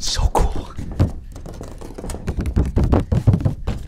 So cool.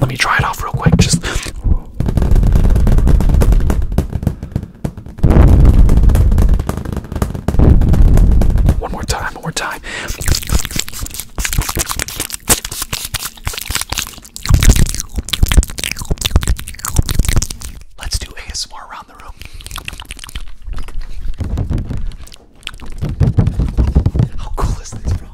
Let me try it off real quick. Just. One more time, one more time. Let's do ASMR around the room. How cool is this, bro?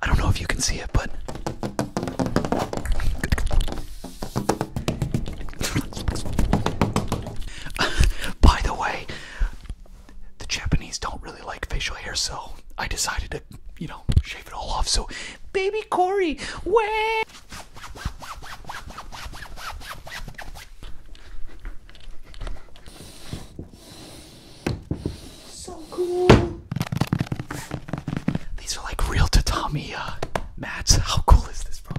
I don't know if you can see it, but by the way, the Japanese don't really like facial hair, so I decided to, you know, shave it all off. So, baby Corey, wait. So cool. These are like real tatami uh, mats. How cool is this, bro?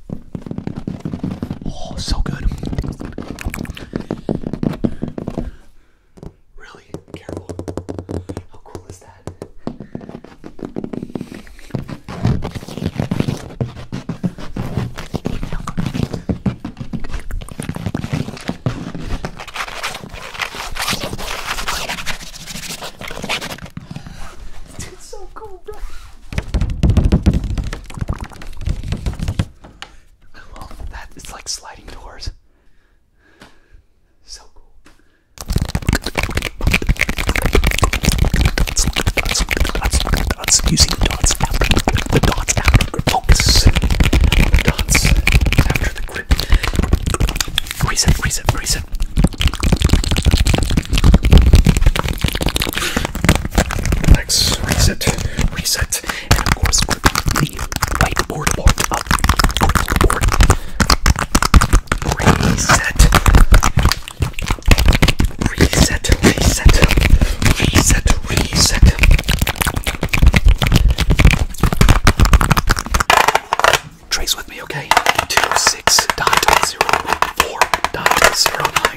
Oh, so good. Really careful. How cool is that? It's so cool, bro that. It's like sliding doors. So cool. let dots. the dots. Look after the grip. Focus. The dots after the grip. Reset, reset, reset reset, and of course clipping the whiteboard part up. Clipboard. Reset. Reset, reset, reset, reset. Trace with me, okay? 26.049.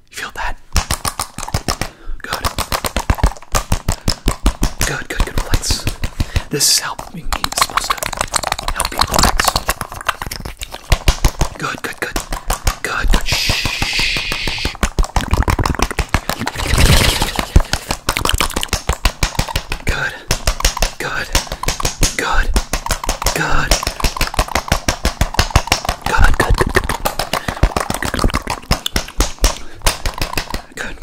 You feel that? Good. Good, good, good. Relax. This is helping me. It's supposed to help you relax. Good, good, good. Good, good. Shh. Good. Good. Good. Good. Good, good, good, good. Good.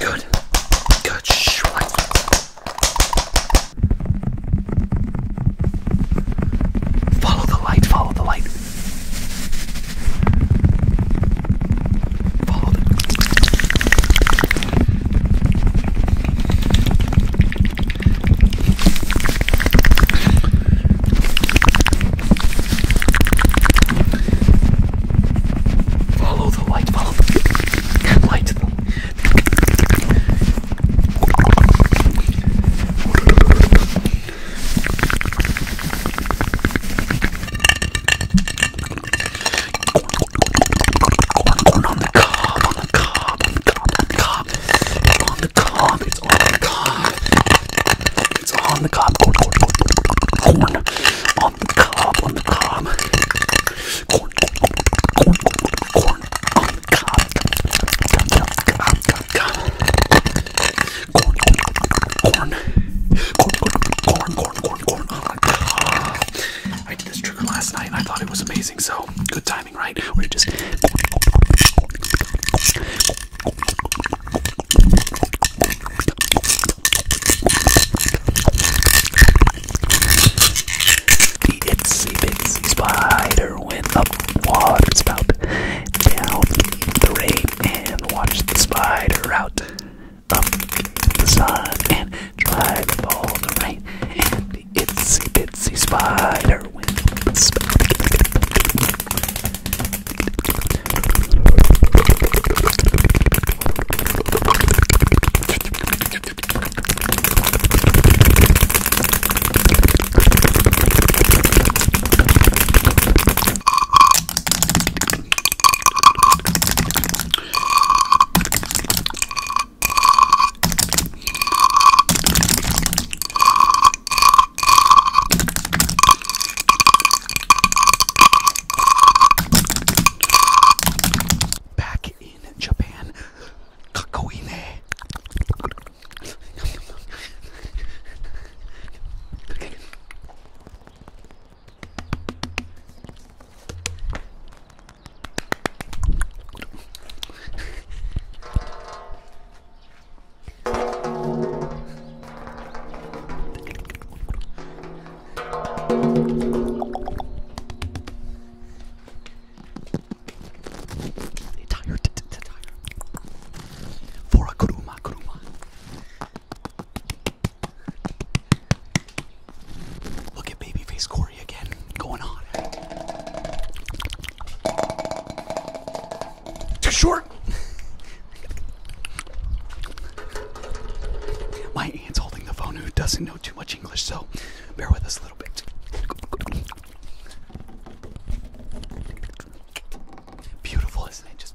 Good. Good. Shh, relax. Follow the light, follow the light. Follow the Follow the light, follow the light. Corn on the cob, on the cob, on the cob, on the cob cob. It's on the cob. It's on the cob. It's on the cob. Corn, corn, corn, corn, corn. On the cob. On the cob. Corn, corn, corn, corn, corn. On the cob. Cob, cob, cob. Corn, corn, corn, corn, corn, corn, corn. On the cob. I did this trigger last night and I thought it was amazing. So good time the itsy bitsy spider went up the water spout, down the rain, and watched the spider out, up the sun, and drive all the rain, and the itsy bitsy spider web. Back in Japan, Kakoine. Tire, tire. For a kuruma, kuruma. Look at babyface corner. Too short. My aunt's holding the phone who doesn't know too much English, so bear with us a little bit. Beautiful, isn't it? Just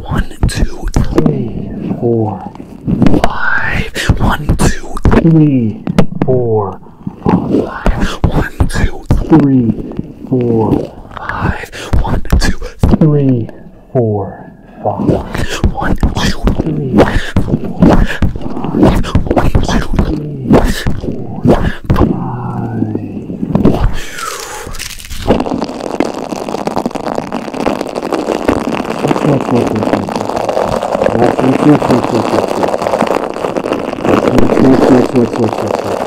One, two, three, four, five. One, two, three, four, five. One, two, three, four five. One, two, three, four, five. One, two, three, four, five. One, two, three, four, five.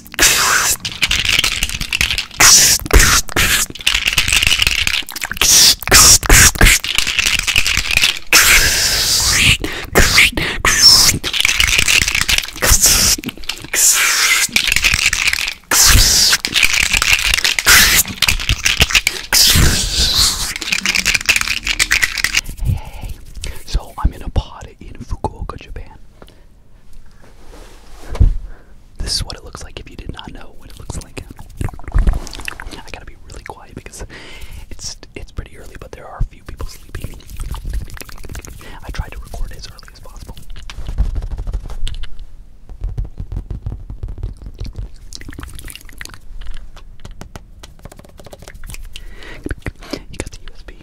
Hey, hey, hey. So I'm in a pod in Fukuoka, Japan. This is what it looks like if you did not know what it looks like. I gotta be really quiet because it's it's pretty early, but there are a few people sleeping. I tried to record as early as possible. You got the USB.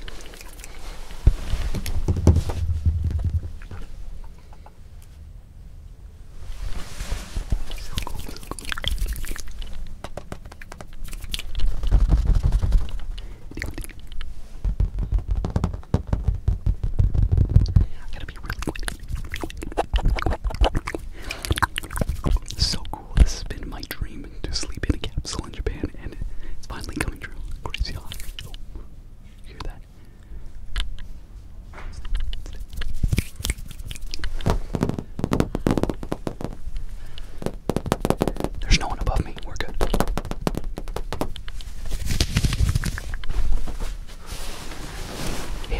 So cool, This has been my dream to sleep in a capsule in Japan, and it's finally coming true. Crazy hot. Oh, hear that? that. There's no one above me. We're good.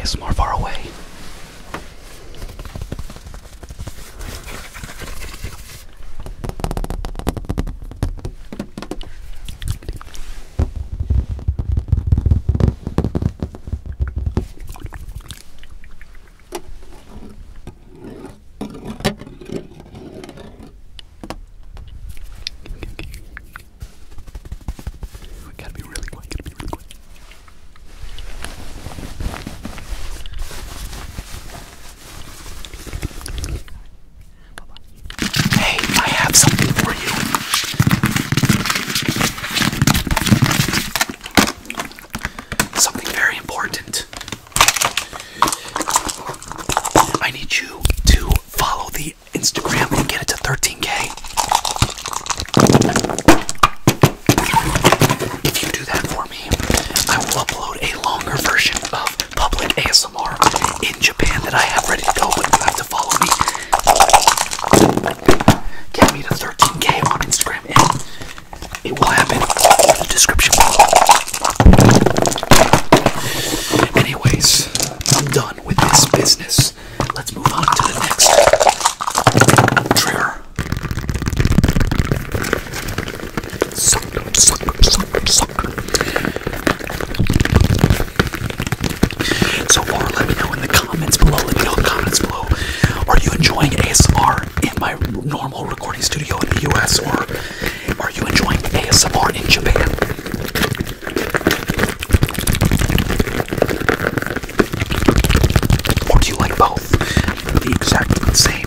It's more far away. We gotta be really quick, gotta be really quick. Hey, I have something for you. Something very important. I need you to follow the Instagram and get it to 13k. If you do that for me, I will upload a longer version of public ASMR in Japan that I have ready to go, but you have to follow me. Get me to 13k on Instagram, it will happen in the description below. Anyways, I'm done with this business. Let's move on to the next Sucker, sucker, sucker, sucker. So far, let me know in the comments below. in the comments below. Are you enjoying ASMR in my normal recording studio in the US, or are you enjoying ASMR in Japan? Or do you like both? The exact same.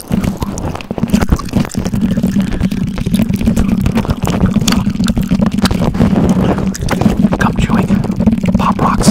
Come chewing pop rocks.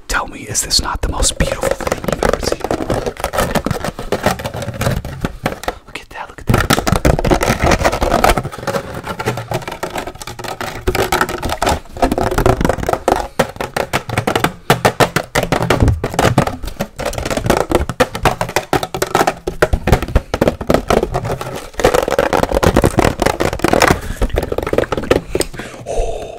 Tell me, is this not the most beautiful thing you've ever seen? Look at that, look at that. Oh,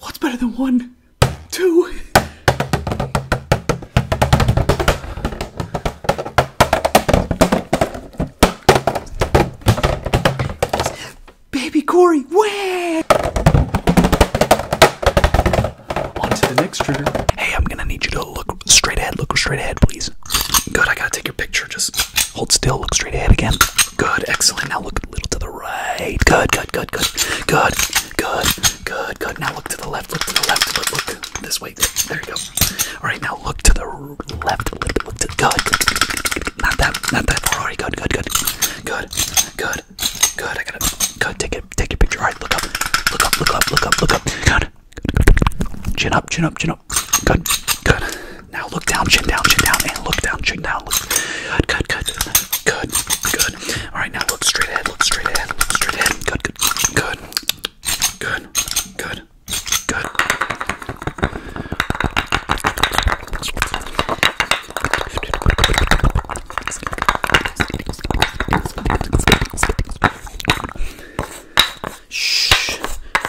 What's better than one? Two? Baby Corey, where? On to the next trigger. Hey, I'm gonna need you to look straight ahead. Look straight ahead, please. Good, I gotta take your picture. Just. Hold still. Look straight ahead again. Good. Excellent. Now look a little to the right. Good. Good. Good. Good. Good. Good. Good. Good. Now look to the left. Look to the left. Look. Look this way. There you go. All right. Now look to the left a little bit. Look to good. Not that. Not that far. All right. Good. Good. Good. Good. Good. Good. I gotta. Good. Take it. Take your picture. All right. Look up. Look up. Look up. Look up. Look up. Good. Chin up. Chin up. Chin up. Good. Good. Now look down, chin down, chin down, and look down, chin down. Look. Good, good, good, good, good. All right, now look straight ahead, look straight ahead, look straight ahead. Good, good, good, good, good, good. Shh.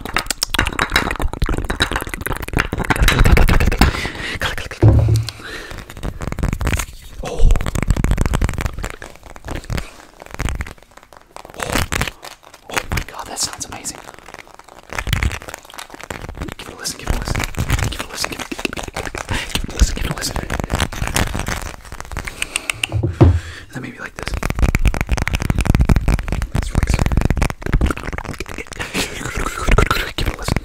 Oh. Oh. oh my god, that sounds amazing. Give it a listen, give it a listen. Give it a listen, give it, give it, give it, give it a listen, give it a listen. And then maybe like like this. Let's fix it. Give it a listen.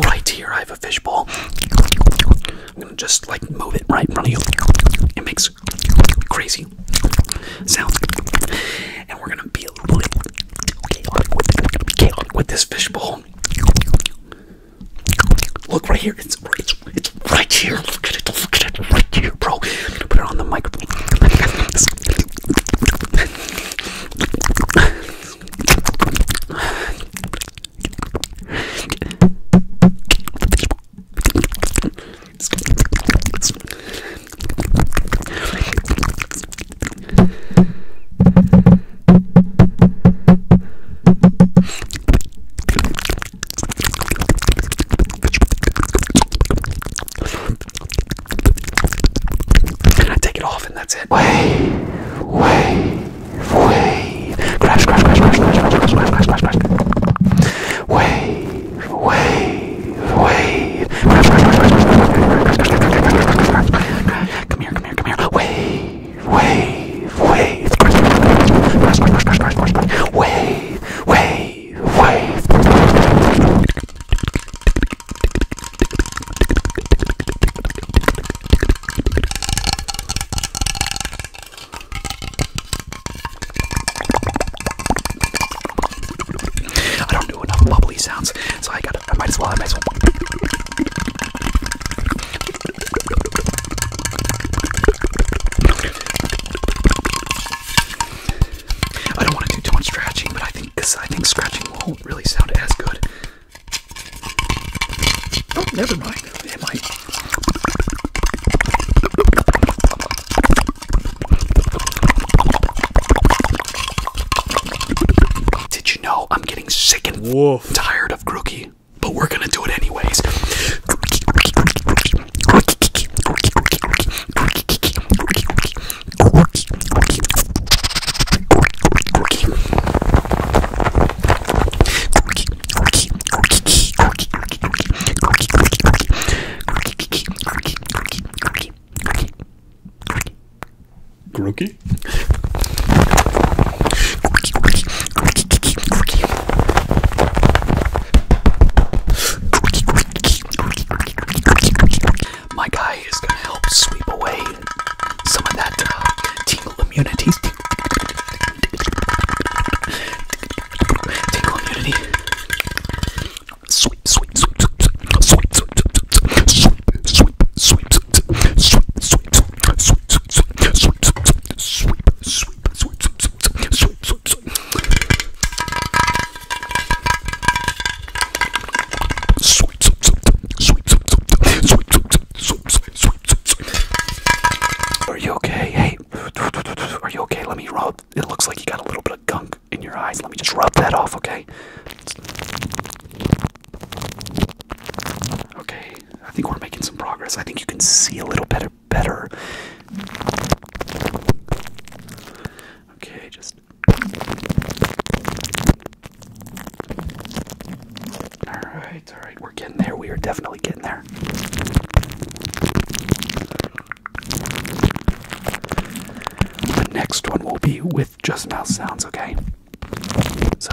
Right here, I have a fishbowl. I'm gonna just like move it right in front of you. It makes crazy sounds, and we're gonna be a with, to be with this fishbowl. Look right here. It's right here. Look at it. Look at it right here, bro. put it on the microphone. I take it off and that's it. Way, way, wave, crash, crash, crash, crash, crash, crash, crash, crash, crash, crash, crash, wave, wave, wave, crash, crash, crash, crash, crash, crash, come here, come here, come here, wave, wave, wave, crash, crash, crash, crash, crash, crash, crash, wave, wave, wave. I don't do enough bubbly sounds, so I gotta. I might as well. I might as well. I don't want to do too much scratching, but I think I think scratching won't really sound as good Oh, never mind. Did you know I'm getting sick and tired of Grookie? But we're gonna do it anyways. Groky? My guy is gonna help sweep away some of that uh, tingle immunity. Tingle immunity. Sweep, sweep, sweep, sweep, sweep, sweep, sweep, sweep, sweep, sweep, sweep, sweep, sweep, sweep, sweep, Sweet, sweet, sweet, sweet, sweet, sweet, sweet, sweet, sweet, are you okay? Hey, are you okay? Let me rub. It looks like you got a little bit of gunk in your eyes. Let me just rub that off, okay? Okay, I think we're making some progress. I think you can see a little better. Better. Okay, just Alright, alright, we're getting there. We are definitely getting there. The next one will be with just mouth sounds, okay? So,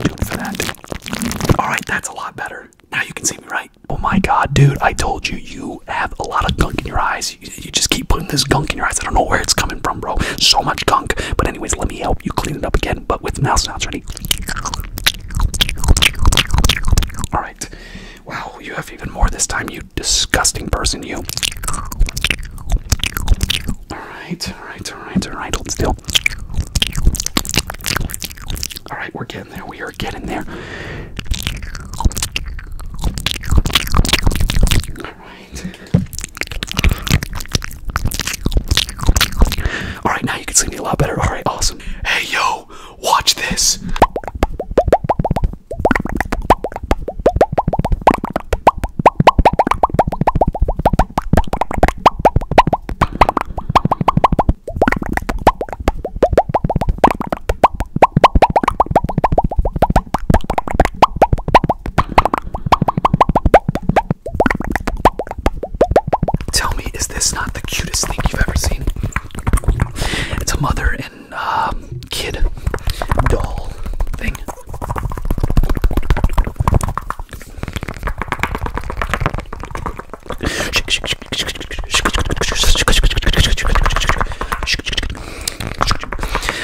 tune for that. Alright, that's a lot better. Now you can see me, right? Oh my god, dude, I told you, you have a lot of gunk in your eyes. You, you just keep putting this gunk in your eyes. I don't know where it's coming from, bro. So much gunk. But, anyways, let let me help you clean it up again, but with mouth sounds. Ready? All right. Wow, you have even more this time, you disgusting person, you. All right, all right, all right, all right. Hold still. All right, we're getting there. We are getting there. All right, now you can see me a lot better. All right, awesome. Hey, yo, watch this. Tell me, is this not the cutest thing you've ever seen? It's a mother and um, kid doll thing.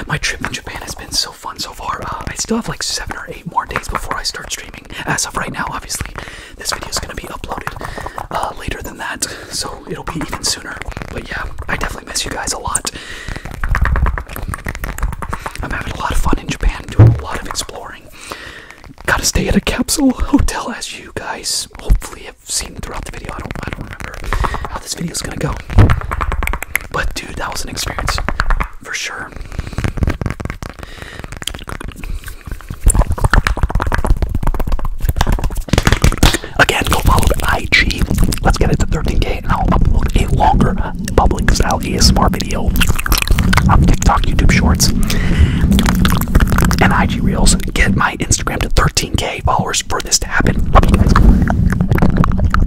My trip to Japan has been so fun so far. Uh, I still have like seven or eight more days before I start streaming. As of right now, obviously, this video is gonna be uploaded uh, later than that, so it'll be even sooner. But yeah, I definitely miss you guys a lot. I'm having a lot of fun in Japan, doing a lot of exploring. Gotta stay at a capsule hotel, as you guys hopefully have seen throughout the video. I don't, I don't remember how this video is gonna go. But dude, that was an experience for sure. Again, go follow IG. Let's get it to 13k, and I'll upload a longer public style ASMR video on TikTok, YouTube Shorts, and IG Reels. Get my Instagram to 13k followers for this to happen.